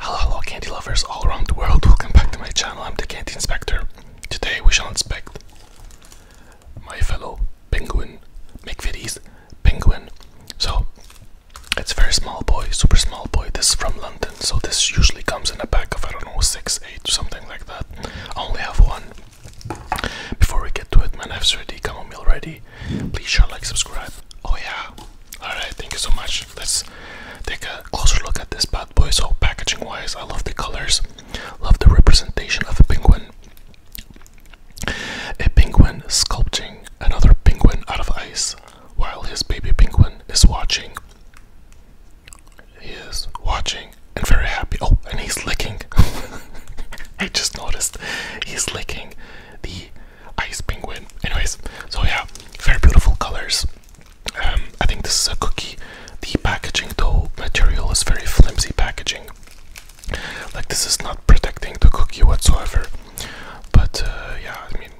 Hello, hello, candy lovers all around the world. Welcome back to my channel. I'm the Candy Inspector. Today we shall inspect my fellow penguin, McVitie's penguin. So it's very small boy, super small boy. This is from London, so this usually comes in a pack of I don't know six, eight, something like that. I only have one. Before we get to it, man, I have 30 chamomile ready. Please share, like, subscribe. Oh yeah. Alright, thank you so much. Let's take a closer look at this bad boy. So packaging wise, I love the colors. Love the representation of a penguin. A penguin sculpting another penguin out of ice while his baby penguin is watching. He is watching and very happy. Oh, and he's licking. I just noticed he's licking the ice penguin. Anyways, so yeah, very beautiful colors. Um, I think this is a cookie. The packaging, though, material is very flimsy packaging. Like this is not protecting the cookie whatsoever. But uh, yeah, I mean,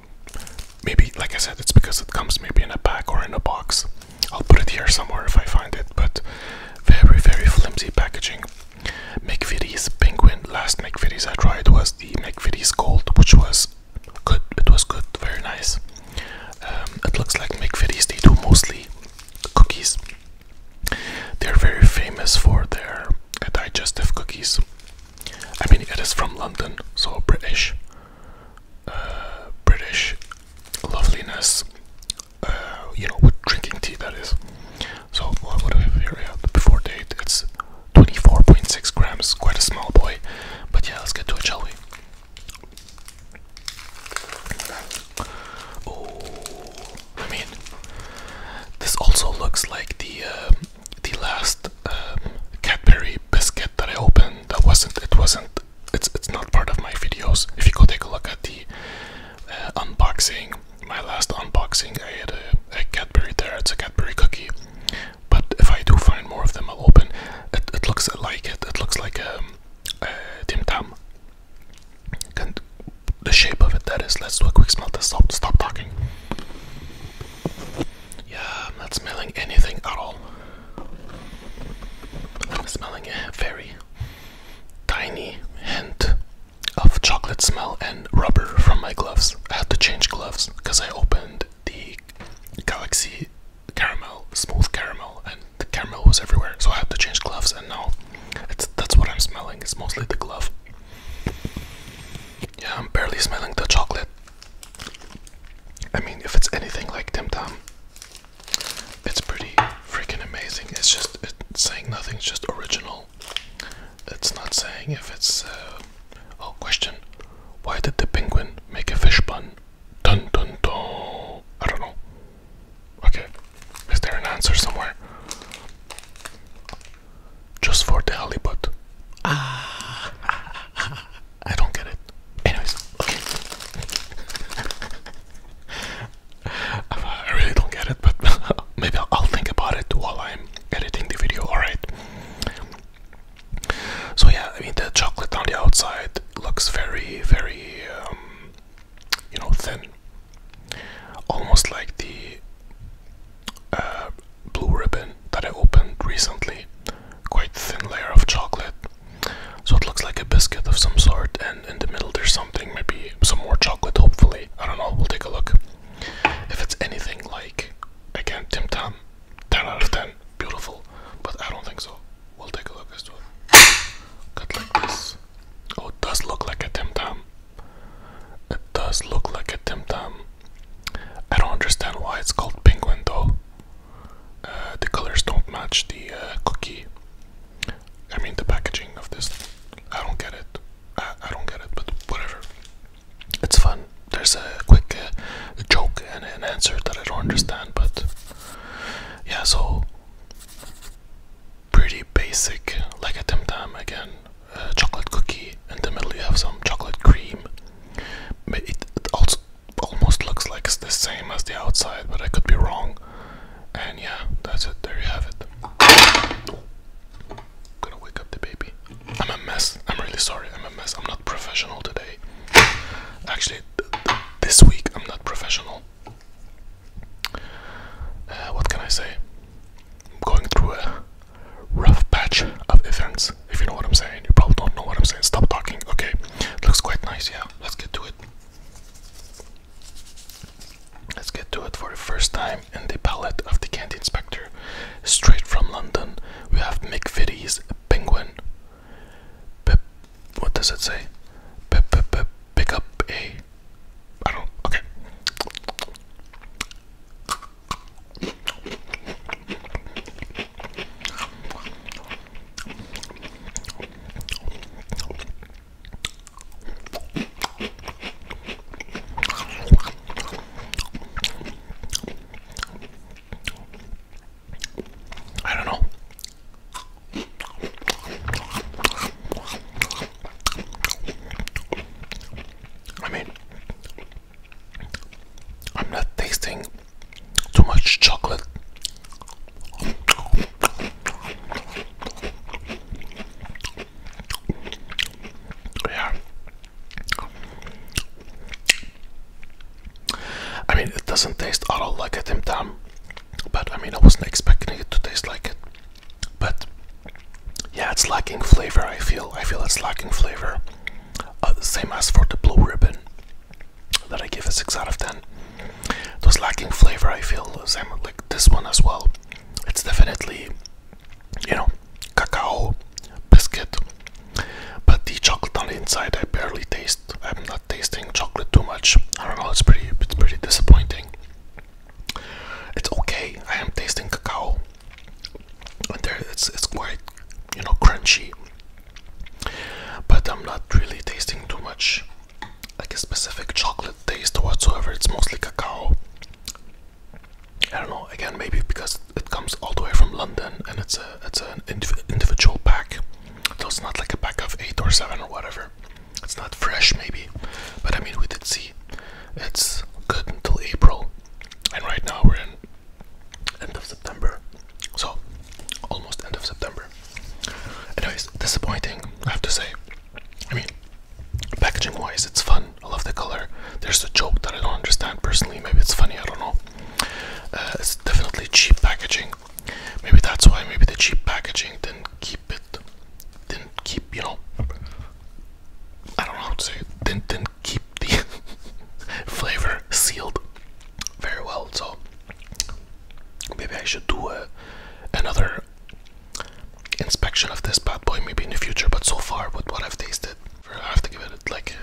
maybe like I said, it's because it comes maybe in a pack or in a box. I'll put it here somewhere if I find it, but very, very flimsy packaging. McVitie's Penguin, last McVitie's I tried was the McVitie's Gold, which was good, it was good, very nice. Um, it looks like McVitie's, they do mostly cookies. They're very famous for their digestive cookies. I mean, it is from London, so British. Uh, British loveliness uh, you know, with drinking tea that is. So what do we have here? Yeah, the before date, it's 24.6 grams, quite a small boy. But yeah, let's get to it, shall we? Oh, I mean, this also looks like the uh, the last um, Cadbury biscuit that I opened. That wasn't. It wasn't it's it's not part of my videos. If you go take a look at the uh, unboxing, my last unboxing, I had a, a Cadbury there. It's a Cadbury cookie. But if I do find more of them, I'll open. It it looks like it. It looks like a, um, a uh, Tim Tam. And the shape of it. That is. Let's do a quick smell test. Stop. Stop talking. Yeah, I'm not smelling anything at all. I'm smelling a very tiny hint of chocolate smell and rubber from my gloves. I had to change gloves because I opened the Galaxy caramel, smooth caramel, and the caramel was everywhere. So I had to change gloves, and now that's what I'm smelling. It's mostly the glove. Yeah, I'm barely smelling the chocolate. I mean, if it's anything like Tim Tam, it's pretty freaking amazing. It's just saying nothing's just original. It's not saying if it's. Uh, oh, question. Why did the penguin make a fish bun? Dun dun dun. I don't know. Okay. Is there an answer somewhere? Just for the halibut. Ah. I don't get it. Anyways, okay. I really don't get it, but maybe I'll, think about it while I'm editing the video, alright? So, yeah, I mean, the chocolate on the outside looks very, very, um, you know, thin. Almost like the uh, blue ribbon that I opened recently quite thin layer of chocolate. So it looks like a biscuit of some sort, and in the middle there's something, maybe some more chocolate, hopefully. I don't know, we'll take a look. If it's anything like, again, Tim Tam, 10 out of 10, beautiful, but I don't think so. We'll take a look as well. Cut like this. Oh, does look like a Tim Tam. It does look like a Tim Tam. I don't understand why it's called penguin though. Uh, the colors don't match the uh, cookie. I mean the packaging of this. I don't get it. I, don't get it, but whatever. It's fun. There's a quick uh, joke and an answer that I don't understand, but yeah, so pretty basic, like a Tim Tam again. chocolate cookie in the middle, you have some chocolate cream. But it also almost looks like it's the same as the outside, but I could be wrong. And yeah, that's it. There you have it. I'm gonna wake up the baby. I'm a mess. I'm really sorry. I'm a mess. I'm not professional today. Actually, this week I'm not professional. Uh, what can I say? I'm going through a rough patch of events, if you know what I'm saying. You probably don't know what I'm saying. Stop talking. Okay, looks quite nice. Yeah, let's get to it. Let's get to it for the first time in the palette of the Candy Inspector. Straight from London, we have Mick McVitie's Penguin. Pip, what does it say? Pip, pip, pip, pick up a. I don't. Okay. I don't know. I mean, I'm not tasting too much chocolate. Yeah. I mean, it doesn't taste at all like a Tim Tam, but I mean, I wasn't expecting it to taste like it. But yeah, it's lacking flavor. I feel I feel it's lacking flavor. Uh, same as for the blue ribbon that I gave a six out of ten. It was lacking flavor, I feel same like this one as well. It's definitely, you know, cacao biscuit, but the chocolate on the inside, I barely taste. I'm not tasting chocolate too much. I don't know. It's pretty. It's pretty disappointing. It's okay. I am tasting cacao, there it's it's quite you know crunchy but i'm not really tasting too much like a specific chocolate taste whatsoever it's mostly cacao i don't know again maybe because it comes all the way from london and it's a it's an individual pack so it's not like a pack of eight or seven or whatever it's not fresh maybe but i mean we did see it's good until april and right now we're in end of September, so almost end of September. Anyways, disappointing, I have to say. I mean, packaging wise, it's fun. I love the color. There's a joke that I don't understand personally. Maybe it's funny, I don't know. Uh, it's definitely cheap packaging. Maybe that's why, maybe the cheap packaging didn't keep it didn't keep, you know, I don't know how to say it, did keep the flavor sealed very well. So maybe I should do a, another inspection of this bad boy maybe in the future, but so far with what I've tasted, I have to give it like,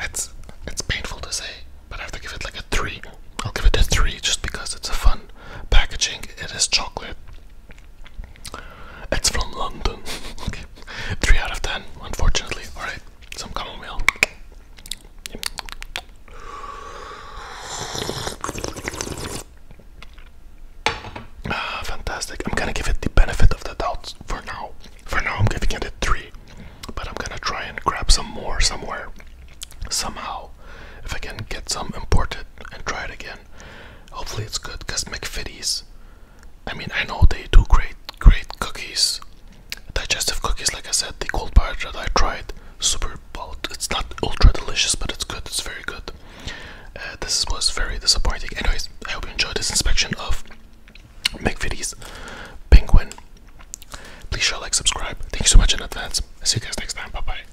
it's, it's painful to say, but I have to give it like a three. I'll give it a three just because it's a fun packaging. It is chocolate. It's from London. okay. 3 out of 10, unfortunately. Alright, some chamomile. Yep. Ah, fantastic. I'm gonna give it the benefit of the doubt for now. For now, I'm giving it a 3. But I'm gonna try and grab some more somewhere. Somehow. If I can get some imported and try it again. Hopefully it's good because McFitties. I mean, I know they do great, great cookies, digestive cookies. Like I said, the cold part that I tried, super. bold. it's not ultra delicious, but it's good. It's very good. Uh, this was very disappointing. Anyways, I hope you enjoyed this inspection of McVitie's Penguin. Please share, like, subscribe. Thank you so much in advance. see you guys next time. Bye bye.